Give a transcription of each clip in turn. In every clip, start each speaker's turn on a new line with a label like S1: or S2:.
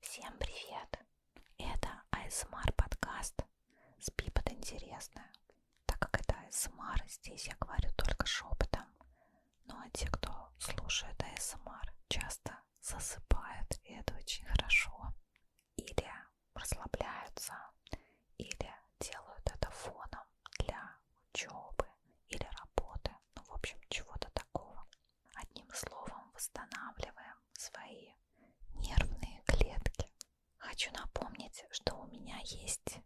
S1: Всем привет! Это ASMR подкаст «Спи под интересное». Так как это ASMR, здесь я говорю только шепотом. Ну а те, кто слушает ASMR, часто засыпают, и это очень хорошо. Или расслабляются, или делают это фоном для учебы или работы. Ну, в общем, чего-то такого. Одним словом, восстанавливаем свои нервные клетки. Хочу напомнить, что у меня есть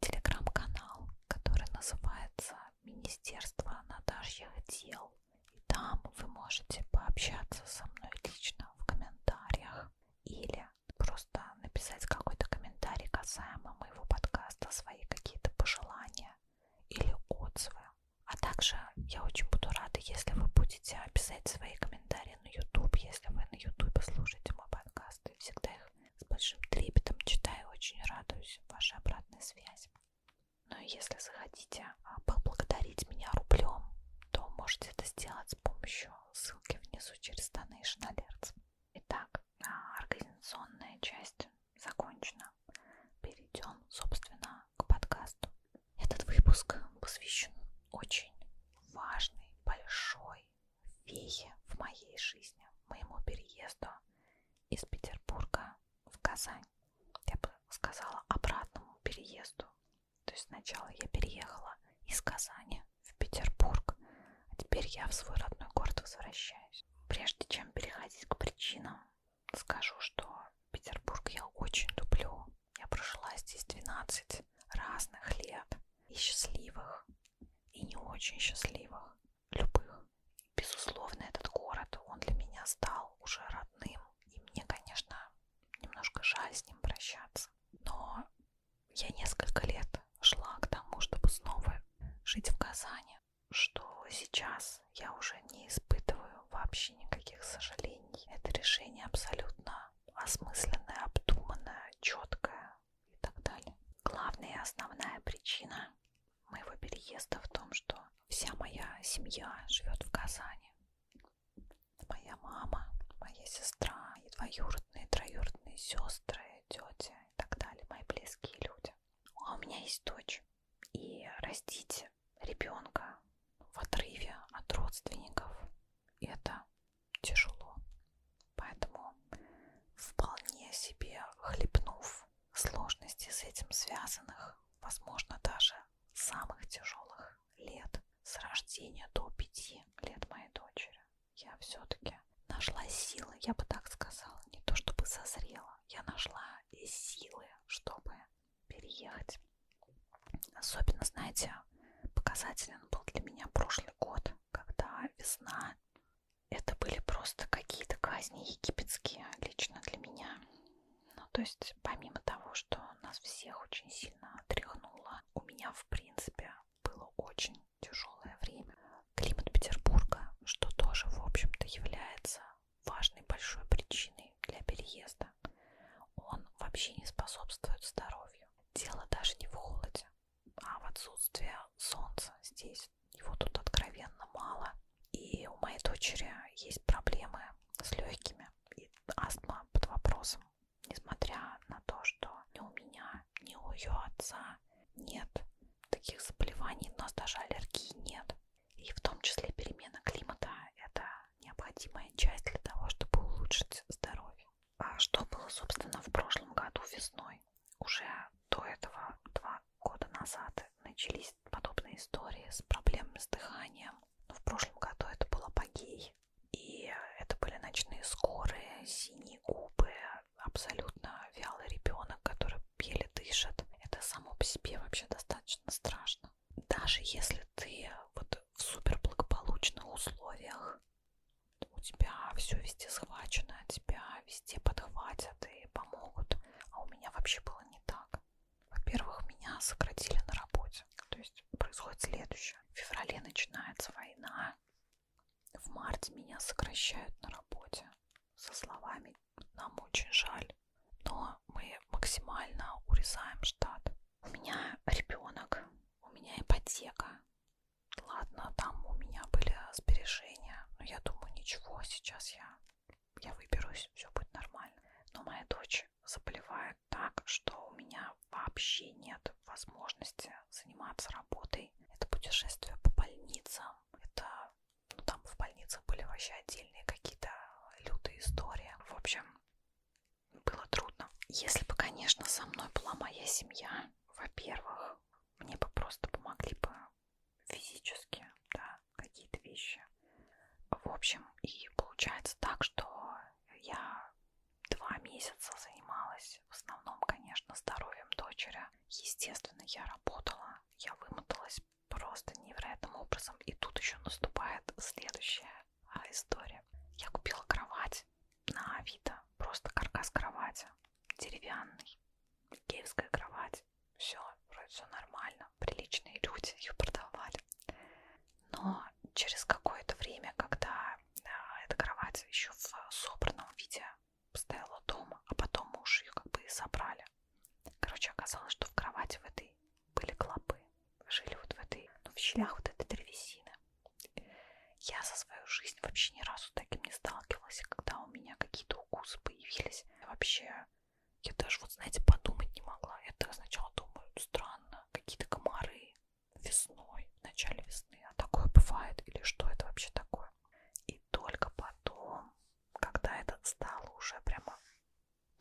S1: телеграм-канал, который называется Министерство наташьих дел. И там вы можете пообщаться со мной лично в комментариях или просто написать какой-то комментарий касаемо моего подкаста, свои какие-то пожелания или отзывы. А также я очень буду рада, если вы будете писать свои комментарии на YouTube, если вы на YouTube слушаете мой подкаст. Я всегда их с большим трепетом читаю, очень радуюсь вашей обратной связи. Ну и если захотите а, поблагодарить меня рублем, то можете это сделать с помощью ссылки внизу через Donation Alerts. Итак, а, организационная часть закончена. Перейдем, собственно, к подкасту. Этот выпуск посвящен очень важной, большой вехе в моей жизни, моему переезду из Петербурга в Казань. Я бы сказала обратному переезду. То есть сначала я переехала из Казани в Петербург, а теперь я в свой родной город возвращаюсь. Прежде чем переходить к причинам, скажу, что Петербург я очень люблю. Я прожила здесь 12 разных лет. И счастливых, и не очень счастливых, любых. Безусловно, этот город, он для меня стал уже родным. И мне, конечно, немножко жаль с ним прощаться. Но я несколько лет шла к тому, чтобы снова жить в Казани что сейчас я уже не испытываю вообще никаких сожалений. Это решение абсолютно осмысленное, обдуманное, четкое и так далее. Главная и основная причина моего переезда в том, что вся моя семья живет в Казани. Моя мама, моя сестра, и двоюродные, и троюродные сестры, тети и так далее, мои близкие люди. А у меня есть дочь. И растить ребенка в отрыве от родственников, это тяжело. Поэтому вполне себе хлебнув сложности с этим связанных, возможно, даже самых тяжелых лет с рождения до пяти лет моей дочери, я все-таки нашла силы, я бы так сказала, не то чтобы созрела, я нашла и силы, чтобы переехать. Особенно, знаете, показателен был для меня прошлый год, когда весна. Это были просто какие-то казни египетские лично для меня. Ну, то есть, помимо того, что нас всех очень сильно отряхнуло, у меня, в принципе, было очень тяжелое время. Климат Петербурга, что тоже, в общем-то, является важной большой причиной для переезда. Он вообще не способствует здоровью. Дело даже не в холоде, а в отсутствии солнца здесь. Его тут откровенно мало. И у моей дочери есть проблемы с легкими и астма под вопросом. Несмотря на то, что ни у меня, ни у ее отца нет таких заболеваний, у нас даже аллергии нет. И в том числе перемена климата – это необходимая часть для того, чтобы улучшить здоровье. А что было, собственно, в прошлом году весной? Уже до этого, два года назад, начались подобные истории с проблемами с дыханием. Но в прошлом году это был апогей. И это были ночные скорые, синие губы, абсолютно вялый ребенок, который еле дышит. Это само по себе вообще достаточно страшно даже если ты вот в супер благополучных условиях, у тебя все везде схвачено, тебя везде подхватят и помогут. А у меня вообще было не так. Во-первых, меня сократили на работе. То есть происходит следующее. В феврале начинается война. В марте меня сокращают на работе со словами Ой, нам очень жаль, но мы максимально урезаем штат. У меня ребенок, у меня ипотека. Ладно, там у меня были сбережения, но я думаю, ничего, сейчас я, я выберусь, все будет нормально. Но моя дочь заболевает так, что у меня вообще нет возможности заниматься работой. Это путешествие по больницам, это ну, там в больницах были вообще отдельные какие-то лютые истории. В общем, было трудно. Если бы, конечно, со мной была моя семья, во-первых, мне бы просто помогли бы физически, да, какие-то вещи. В общем, и получается так, что я два месяца занималась в основном, конечно, здоровьем дочери. Естественно, я работала, я вымоталась просто невероятным образом. И тут еще наступает следующая а, история. Я купила кровать на Авито, просто каркас кровати, деревянный, киевская кровать. Все, вроде все нормально, приличные люди ее продавали. Но через какое-то время, когда а, эта кровать еще в собранном виде стояла дома, а потом мы уже ее как бы и собрали, поля. Короче, оказалось, что в кровати в этой были клопы. Жили вот в этой, ну, в щелях вот этой древесины. Я за свою жизнь вообще ни разу таким не сталкивалась, и когда у меня какие-то укусы появились, вообще, я даже вот, знаете, подумать не могла. Я так сначала думаю, странно, какие-то комары весной, в начале весны, а такое бывает, или что это вообще такое? И только потом, когда это стало уже прямо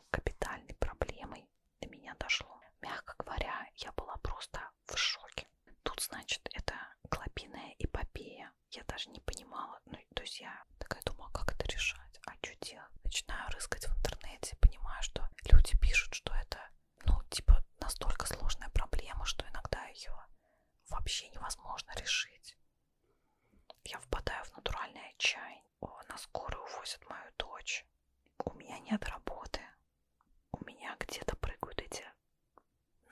S1: капитальной проблемой до меня дошло. Мягко говоря, я была просто в шоке. Тут, значит, это клопиная эпопея. Я даже не понимала, ну, то есть я такая думала, как это решать, а что делать? Начинаю рыскать в интернете, понимаю, что люди пишут, что это, ну, типа, настолько сложная проблема, что иногда ее вообще невозможно решить. Я впадаю в натуральное отчаяние. О, на скорую увозят мою дочь. У меня нет работы. У меня где-то прыгают эти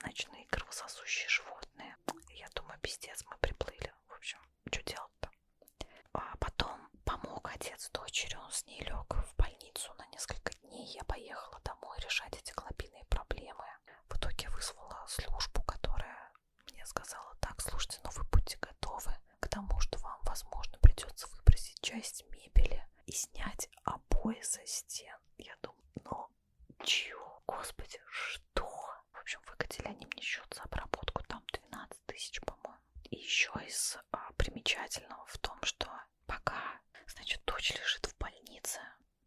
S1: ночные кровососущие животные. Я думаю, пиздец, мы приплыли. В общем, что делать-то? А потом помог отец дочери, он с ней лег в больницу на несколько дней. Я поехала домой решать эти клопиные проблемы. В итоге вызвала службу, которая мне сказала так, слушайте, но ну вы будьте готовы к тому, что вам, возможно, придется выбросить часть мебели и снять обои со стен. Я думаю, ну, чего? Господи, что? В общем, выкатили они мне счет за обработку, там 12 тысяч, по-моему. И еще из а, примечательного в том, что пока, значит, дочь лежит в больнице,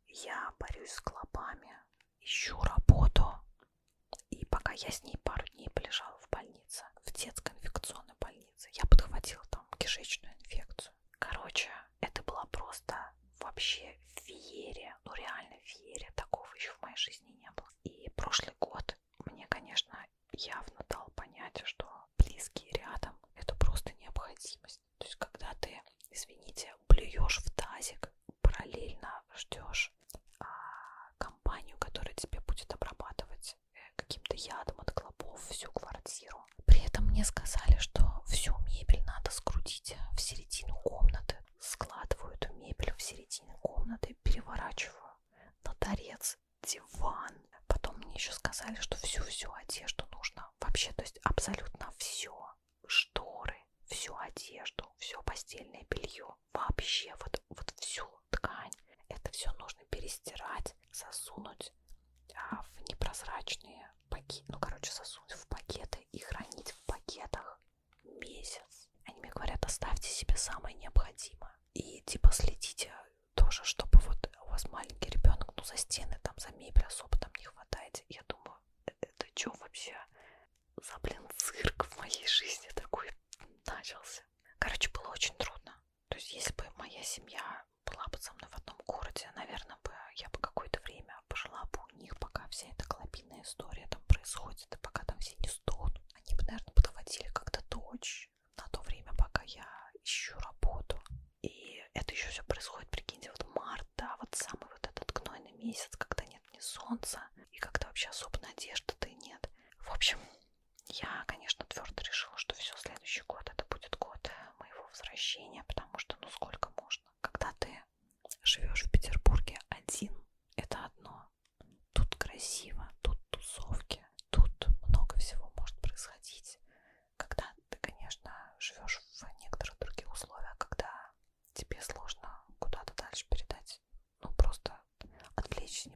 S1: я борюсь с клопами, ищу работу. И пока я с ней пару дней полежала в больнице, в детской инфекционной больнице, я подхватила там кишечную инфекцию. Короче, это была просто вообще феерия, ну реально феерия, такого еще в моей жизни не было. И прошлый год мне, конечно, явно дал понять, что близкие рядом это просто необходимость. То есть, когда ты, извините, плюешь в тазик, параллельно ждешь а, компанию, которая тебе будет обрабатывать э, каким-то ядом от клопов всю квартиру. При этом мне сказали, что всю мебель надо скрутить в середину комнаты. Складываю эту мебель в середину комнаты, переворачиваю на торец диван. Потом мне еще сказали, что всю-всю одежду нужно вообще, то есть абсолютно все. Шторы, всю одежду, все постельное белье, вообще вот, вот всю ткань. Это все нужно перестирать, засунуть а, в непрозрачные пакеты, ну, короче, засунуть в пакеты и хранить в пакетах месяц. Они мне говорят, оставьте себе самое необходимое. И типа следите тоже, чтобы вот у вас маленький ребенок, ну, за стены, там, за мебель особо там не хватает. Я думаю, «Э, это что вообще? за, блин, цирк в моей жизни такой начался. Короче, было очень трудно. То есть, если бы моя семья была бы со мной в одном городе, наверное, бы я бы какое-то время пожила бы у них, пока вся эта клопинная история там происходит, и пока там все не стонут. Они бы, наверное, подводили как-то дочь на то время, пока я ищу работу. И это еще все происходит, прикиньте, вот март, да, вот самый вот этот гнойный месяц, когда нет ни солнца, и как-то вообще особо надежды-то и нет. В общем, я, конечно, твердо решила, что все, следующий год это будет год моего возвращения, потому что, ну, сколько можно. Когда ты живешь в Петербурге один, это одно. Тут красиво, тут тусовки, тут много всего может происходить. Когда ты, конечно, живешь в некоторых других условиях, когда тебе сложно куда-то дальше передать ну, просто отвлечь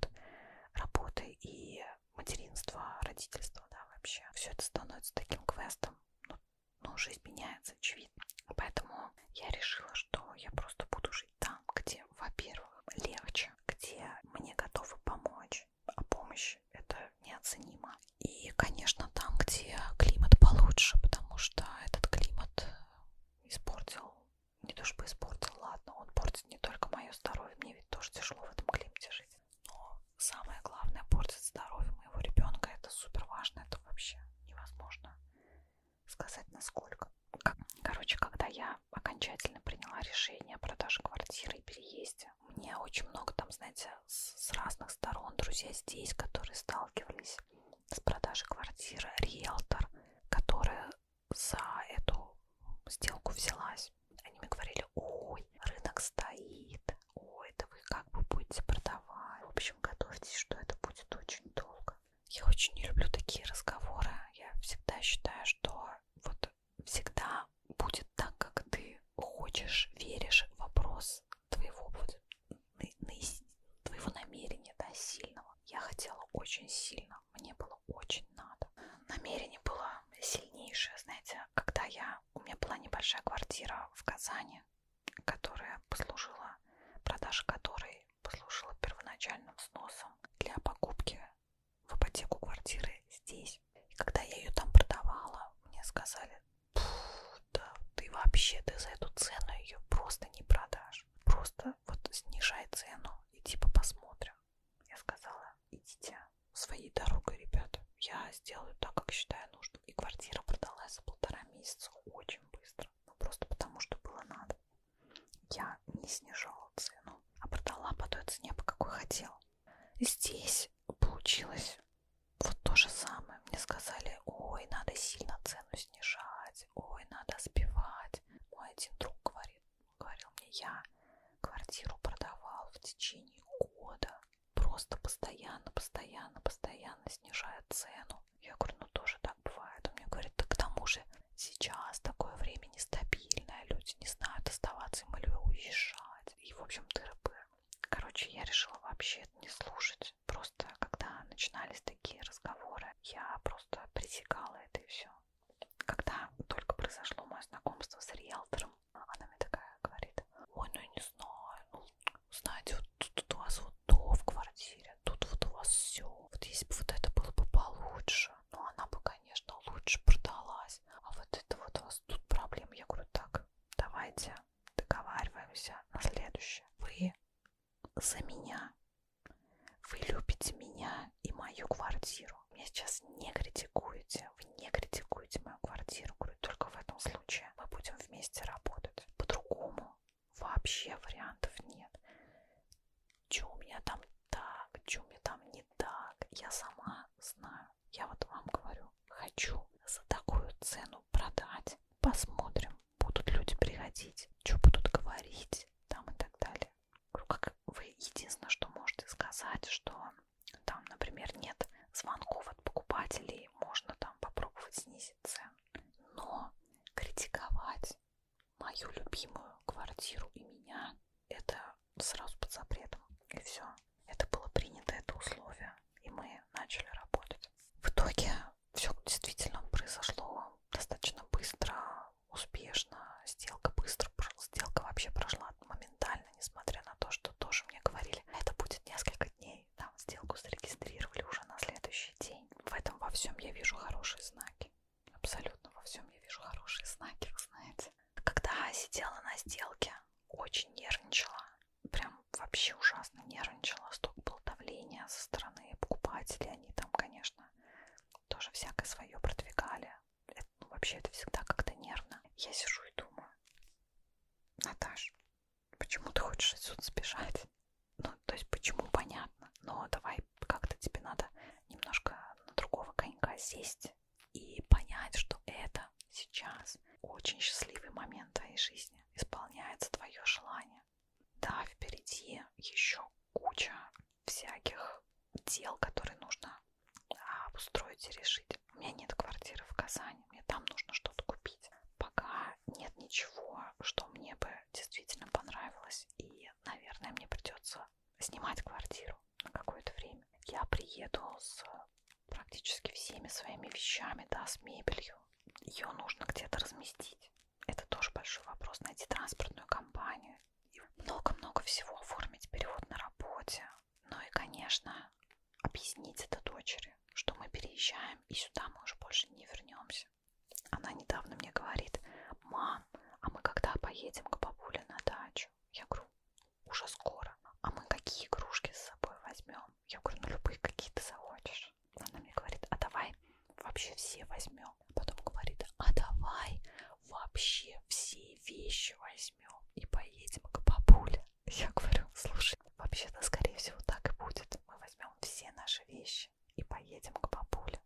S1: работы и материнства, родительства, да, вообще. Все это становится таким квестом, но, ну, но ну, жизнь меняется, очевидно. Поэтому я решила, что я просто буду жить там, где, во-первых, легче, где мне готовы помочь, а помощь это неоценимо. И, конечно, там, где климат получше, потому что этот климат испортил не то чтобы испортил, ладно, он портит не только мое здоровье, мне ведь тоже тяжело в этом климате жить, но самое главное, портит здоровье моего ребенка, это супер важно, это вообще невозможно сказать насколько. Короче, когда я окончательно приняла решение о продаже квартиры и переезде, мне очень много там, знаете, с разных сторон друзей здесь, которые сталкивались с продажи квартиры риэлтор, которая за эту сделку взялась. Они мне говорили, ой, рынок стоит, ой, да вы как бы будете продавать. В общем, готовьтесь, что это будет очень долго. Я очень не люблю такие разговоры. Я всегда считаю, что вот всегда будет так, как ты хочешь, веришь, вопрос твоего будет твоего намерения, да, сильного. Я хотела очень сильно, мне было очень надо. Намерение было сильнейшее, знаете, когда я, у меня была небольшая квартира в Казани, которая послужила, продажа которой послужила первоначальным сносом для покупки в ипотеку квартиры здесь. И когда я ее там продавала, мне сказали, да ты вообще, ты за эту цену ее просто не продашь. Просто вот снижай цену и типа посмотрим. Я сказала, идите своей дорогой, ребята. Я сделаю так, как считаю нужным. И квартира продалась за полтора месяца очень быстро. Ну, просто потому, что было надо. Я не снижала цену, а продала по той цене, по какой хотела. Здесь получилось вот то же самое. Мне сказали, ой, надо сильно цену снижать спевать, ой, надо спевать. Мой один друг говорит, говорил мне, я квартиру продавал в течение года, просто постоянно, постоянно, постоянно снижая цену. Я говорю, ну тоже так бывает. Он мне говорит, да к тому же сейчас такое время нестабильное, люди не знают оставаться им или уезжать. И, в общем, тыры-пыры. Короче, я решила вообще это не слушать. Просто когда начинались такие разговоры я просто пресекала это и все. Когда только произошло мое знакомство с риэлтором, она мне такая говорит, ой, ну я не знаю, ну, знаете, вот тут у вас вот то в квартире, тут вот у вас все, вот если бы вот это было бы получше, ну она бы, конечно, лучше продалась, а вот это вот у вас тут проблема. Я говорю, так, давайте договариваемся на следующее. Вы за меня вы любите меня и мою квартиру. Меня сейчас не критикуете. Вы не критикуете мою квартиру. Говорю, только в этом случае мы будем вместе работать. По-другому вообще вариантов нет. Че у меня там так, че у меня там не так. Я сама знаю. Я вот вам говорю, хочу за такую цену продать. Посмотрим будут люди приходить, что будут говорить там и так далее. Ну, как вы единственное, что можете сказать, что там, например, нет звонков от покупателей, можно там попробовать снизить цену. Но критиковать мою любимую квартиру и меня, это сразу под запретом. И все. Это было принято, это условие. И мы начали работать. В итоге все действительно произошло достаточно быстро, успешно. Сделка быстро, сделка вообще прошла моментально, несмотря на то, что тоже мне говорили, это будет несколько дней. Там сделку зарегистрировали уже на следующий день. В этом во всем я вижу хорошие знаки. Абсолютно во всем я вижу хорошие знаки, вы знаете. Когда сидела на сделке, очень нервничала. Прям вообще ужасно нервничала. Столько было давления со стороны покупателей. Они там, конечно, тоже всякое свое продвигали. Это, ну, вообще это всегда как-то нервно. Я сижу и думаю, Наташ, почему ты хочешь отсюда сбежать? Ну, то есть почему, понятно, но давай как-то тебе надо немножко на другого конька сесть и понять, что это сейчас очень счастливый момент твоей жизни. Исполняется твое желание. Да, впереди еще куча всяких дел, которые нужно а, обустроить и решить. У меня нет квартиры в Казани, мне там нужно что-то купить. Пока нет ничего, что мне бы действительно понравилось, и, наверное, мне придется снимать квартиру на какое-то время. Я приеду с практически всеми своими вещами, да, с мебелью. Ее нужно где-то разместить это тоже большой вопрос. Найти транспортную компанию. Много-много всего. Оформить перевод на работе. Ну и, конечно, объяснить это дочери, что мы переезжаем и сюда мы уже больше не вернемся. Она недавно мне говорит, мам, а мы когда поедем к бабуле на дачу? Я говорю, уже скоро. А мы какие игрушки с собой возьмем? Я говорю, ну любые какие ты захочешь хочешь? Она мне говорит, а давай вообще все возьмем. Потом говорит, а давай вообще все вещи возьмем и поедем к бабуле. Я говорю, слушай, вообще-то, скорее всего, так и будет. Мы возьмем все наши вещи и поедем к бабуле.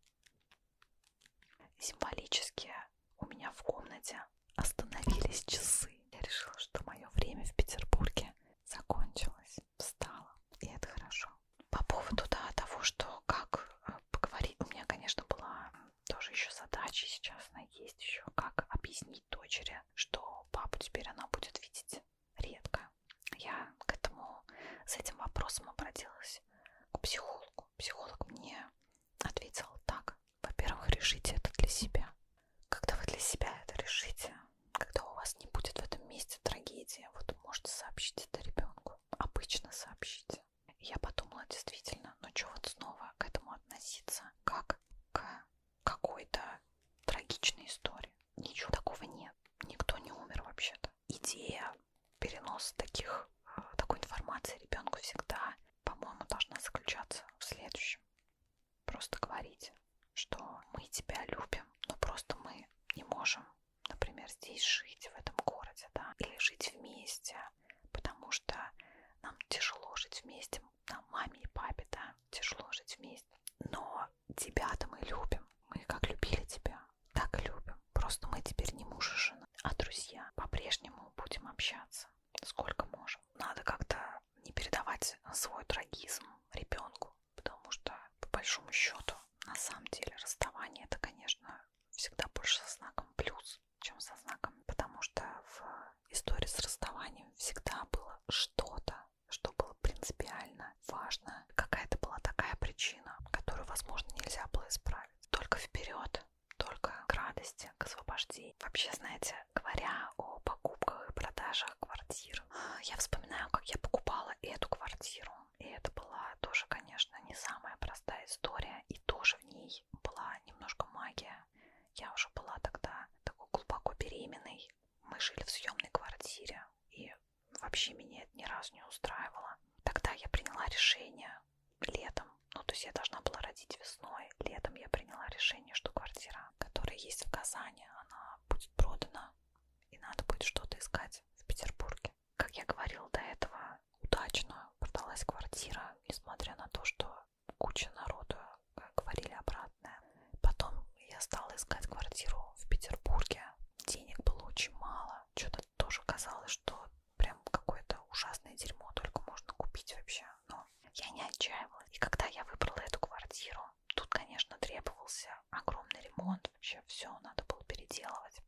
S1: Символически у меня в комнате остановились часы. Я решила, что мое время в Петербурге закончилось встала, и это хорошо. По поводу да, того, что как э, поговорить, у меня, конечно, была тоже еще задача сейчас, она есть еще, как объяснить дочери, что папу теперь она будет видеть редко. Я к этому, с этим вопросом обратилась к психологу. Психолог мне ответил так. Во-первых, решите это для себя. Когда вы для себя это решите, когда у вас не будет в этом месте трагедии, вот можете сообщить это ребенку обычно сообщите. Я подумала действительно, ну что вот снова к этому относиться, как к какой-то трагичной истории. Ничего такого нет. Никто не умер вообще-то. Идея переноса таких, э, такой информации ребенку всегда, по-моему, должна заключаться в следующем. Просто говорите, что мы тебя любим, но просто мы не можем например, здесь жить, в этом городе, да, или жить вместе, потому что нам тяжело жить вместе, нам, маме и папе, да, тяжело жить вместе, но тебя-то мы любим, мы как любили тебя, так и любим, просто мы теперь не муж и жена, а друзья, по-прежнему будем общаться, сколько можем. Надо как-то не передавать свой трагизм ребенку, потому что, по большому счету, на самом деле расставание это, конечно, всегда больше со знаком плюс, чем со знаком, потому что в истории с расставанием всегда было что-то, что было принципиально важно, какая-то была такая причина, которую, возможно, нельзя было исправить. Только вперед, только к радости, к освобождению. Вообще, знаете, говоря о покупках и продажах квартир, я вспоминаю, как я покупала эту квартиру и это была тоже, конечно, не самая простая история. И тоже в ней была немножко магия. Я уже была тогда такой глубоко беременной. Мы жили в съемной квартире. И вообще меня это ни разу не устраивало. Тогда я приняла решение летом. Ну, то есть я должна была родить весной. Летом я приняла решение, что квартира, которая есть в Казани, она будет продана. И надо будет что-то искать в Петербурге как я говорила до этого, удачно продалась квартира, несмотря на то, что куча народу э, говорили обратное. Потом я стала искать квартиру в Петербурге. Денег было очень мало. Что-то тоже казалось, что прям какое-то ужасное дерьмо только можно купить вообще. Но я не отчаивалась. И когда я выбрала эту квартиру, тут, конечно, требовался огромный ремонт. Вообще все надо было переделывать.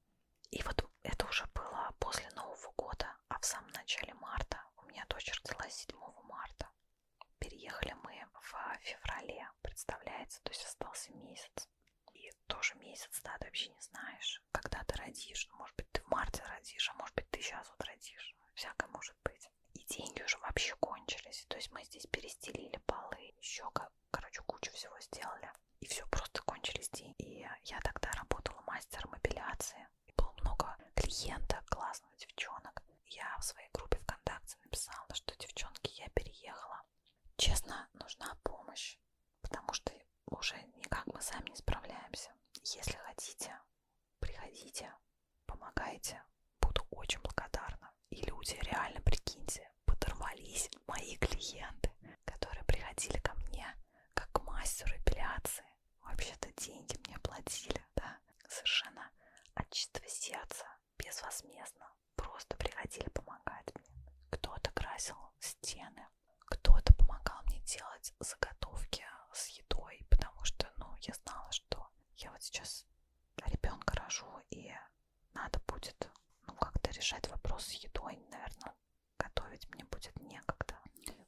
S1: И вот это уже было после Нового года, а в самом начале марта, у меня дочь родилась 7 марта. Переехали мы в феврале, представляете, то есть остался месяц. И тоже месяц, да, ты вообще не знаешь, когда ты родишь. Ну, может быть, ты в марте родишь, а может быть, ты сейчас вот родишь. Всякое может быть. И деньги уже вообще кончились. То есть мы здесь перестелили полы, еще как короче, кучу всего сделали. И все, просто кончились деньги. И я тогда работала мастером апелляции. И было много клиентов, классных девчонок. Я в своей группе ВКонтакте написала, что девчонки, я переехала. Честно, нужна помощь, потому что уже никак мы сами не справляемся. Если хотите, приходите, помогайте. Буду очень благодарна. И люди, реально, прикиньте, подорвались мои клиенты, которые приходили ко мне как к мастеру эпиляции. Вообще-то деньги мне платили, да, совершенно от чистого сердца, безвозмездно. Просто приходили помогать мне. Кто-то красил стены, кто-то помогал мне делать заготовки с едой, потому что, ну, я знала, что я вот сейчас ребенка рожу, и надо будет, ну, как-то решать вопрос с едой, наверное, готовить мне будет некогда.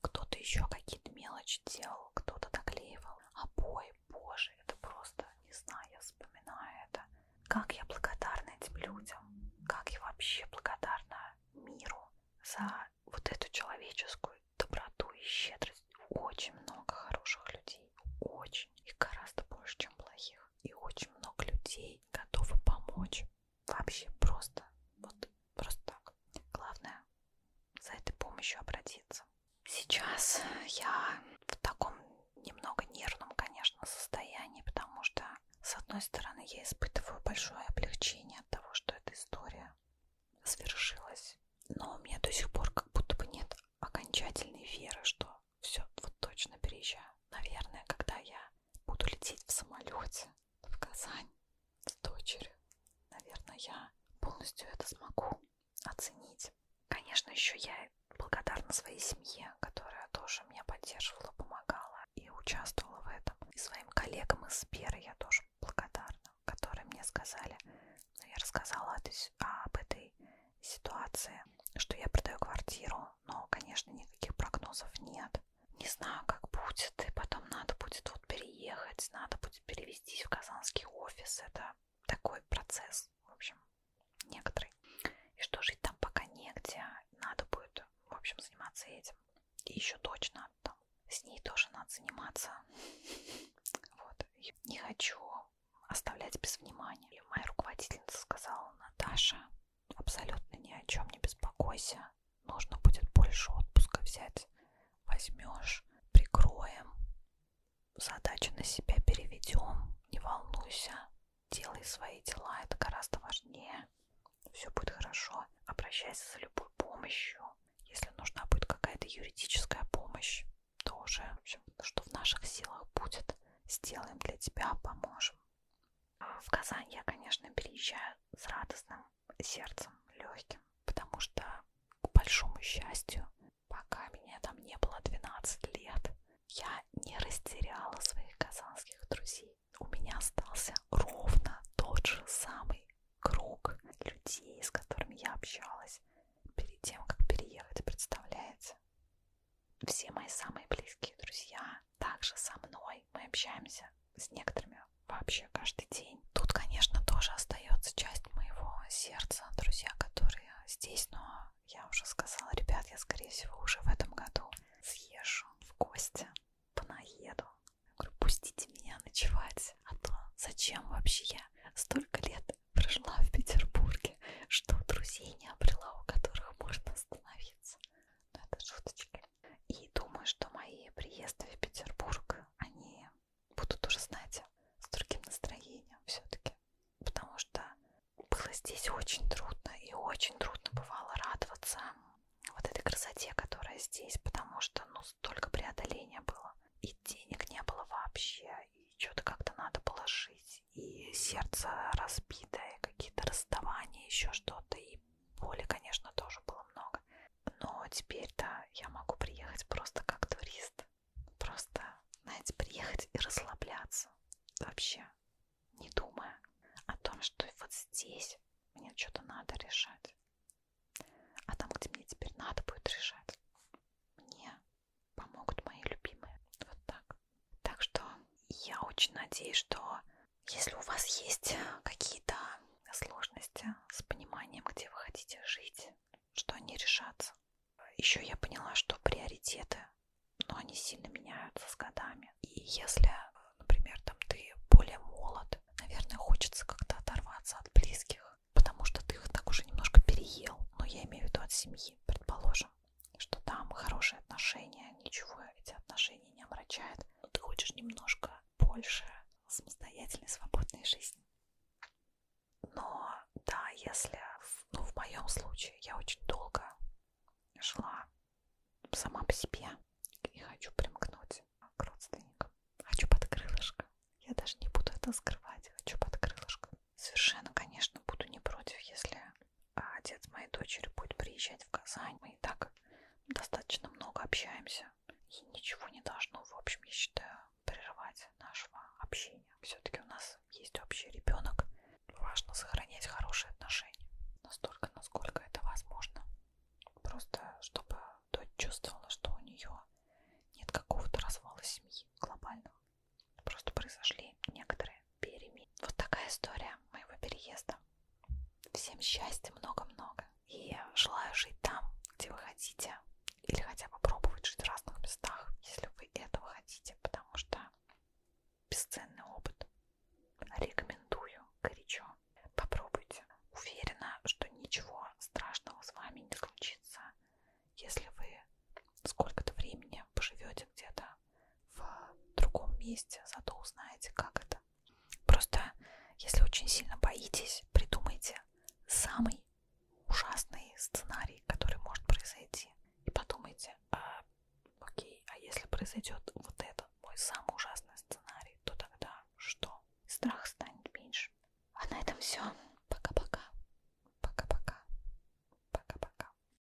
S1: Кто-то еще какие-то мелочи делал, кто-то доклеивал обои, а боже, это просто, не знаю, я вспоминаю это. Как я благодарна этим людям, как я вообще благодарна миру за вот эту человеческую доброту и щедрость. Очень много хороших людей, очень, и гораздо больше, чем плохих и очень много людей готовы помочь. Вообще просто, вот просто так. Главное за этой помощью обратиться. Сейчас я в таком немного нервном, конечно, состоянии, потому что, с одной стороны, я испытываю большое облегчение от того, что эта история свершилась, но у меня до сих пор как будто бы нет окончательной веры, что все, вот точно переезжаю. Наверное, когда я буду лететь в самолете в Казань с дочерью, наверное, я полностью это смогу оценить. Конечно, еще я благодарна своей семье, которая тоже меня поддерживала, помогала и участвовала в этом. И своим коллегам из Сбера я тоже благодарна, которые мне сказали, «Ну, я рассказала об этой ситуации, что я продаю квартиру, весну, но, конечно, никаких прогнозов нет. Не знаю, как будет, и потом надо будет вот переехать, надо будет перевестись в казанский офис. Это такой процесс, в общем, некоторый. И что жить там пока негде, надо будет, в общем, заниматься этим. И еще дочь надо там. С ней тоже надо заниматься. Вот. Не хочу оставлять без внимания. И моя руководительница сказала, Наташа, Абсолютно ни о чем не беспокойся. Нужно будет больше отпуска взять. Возьмешь, прикроем. Задачи на себя переведем. Не волнуйся. Делай свои дела, это гораздо важнее. Все будет хорошо. Обращайся за любой помощью. Если нужна будет какая-то юридическая помощь, тоже, в общем, что в наших силах будет, сделаем для тебя, поможем. В Казань я, конечно, переезжаю с радостным сердцем, легким, потому что, к большому счастью, пока меня там не было 12 лет, я не растеряла своих казанских друзей. У меня остался ровно тот же самый круг людей, с которыми я общалась перед тем, как переехать, представляете? все мои самые близкие друзья также со мной. Мы общаемся с некоторыми вообще каждый день. Тут, конечно, тоже остается часть моего сердца, друзья, которые здесь, но я уже сказала, ребят, я, скорее всего, уже в этом году съезжу в гости, понаеду. Я говорю, пустите меня ночевать, а то зачем вообще я столько лет прожила в Петербурге, что друзей не обрела, у которых можно остановиться. Но это шуточки. И думаю, что мои приезды в Петербург, они будут уже, знаете, с другим настроением все-таки. Потому что было здесь очень трудно. И очень трудно бывало радоваться вот этой красоте, которая здесь. Потому что, ну, столько преодоления было. И денег не было вообще. И что-то как-то надо было жить плакать, и сердце разбитое, какие-то расставания, еще что-то, и боли, конечно, тоже было много. Но теперь-то я могу приехать просто как турист. Просто, знаете, приехать и расслабляться. Вообще, не думая о том, что вот здесь мне что-то надо решать. А там, где мне теперь надо будет решать, мне помогут мои любимые. Вот так. Так что я очень надеюсь, что если у вас есть какие-то сложности с пониманием, где вы хотите жить, что они решатся. Еще я поняла, что приоритеты, но ну, они сильно меняются с годами. И если, например, там ты более молод, наверное, хочется как-то оторваться от близких, потому что ты их так уже немножко переел. Но ну, я имею в виду от семьи, предположим что там хорошие отношения, ничего эти отношения не омрачает. Но ты хочешь немножко больше самостоятельной, свободной жизни. Но да, если, ну в моем случае, я очень долго шла сама по себе и хочу примкнуть к родственникам. Хочу под крылышко. Я даже не буду это скрывать. Хочу под крылышко. Совершенно, конечно, буду не против, если а отец моей дочери будет приезжать в Казань. Мы и так достаточно много общаемся. И ничего не должно, в общем, я считаю, прерывать нашего общения. Все-таки у нас есть общий ребенок. Важно сохранять хорошие отношения. Настолько, насколько это возможно. Просто, чтобы дочь чувствовала, что у нее нет какого-то развала семьи глобального. Просто произошли некоторые перемены. Вот такая история моего переезда. Всем счастья много-много. И желаю жить там, где вы хотите. Или хотя бы пробовать жить в разных местах, если вы этого хотите. Потому что бесценный опыт. Рекомендую горячо. Попробуйте. Уверена, что ничего страшного с вами не случится, если вы сколько-то времени поживете где-то в другом месте, зато узнаете, как это. Просто, если очень сильно боитесь, придумайте самый ужасный сценарий, который может произойти. И подумайте, а, окей, а если произойдет вот это, мой самый ужасный сценарий, то тогда что? Страх станет меньше. А на этом все. Пока-пока. Пока-пока. Пока-пока.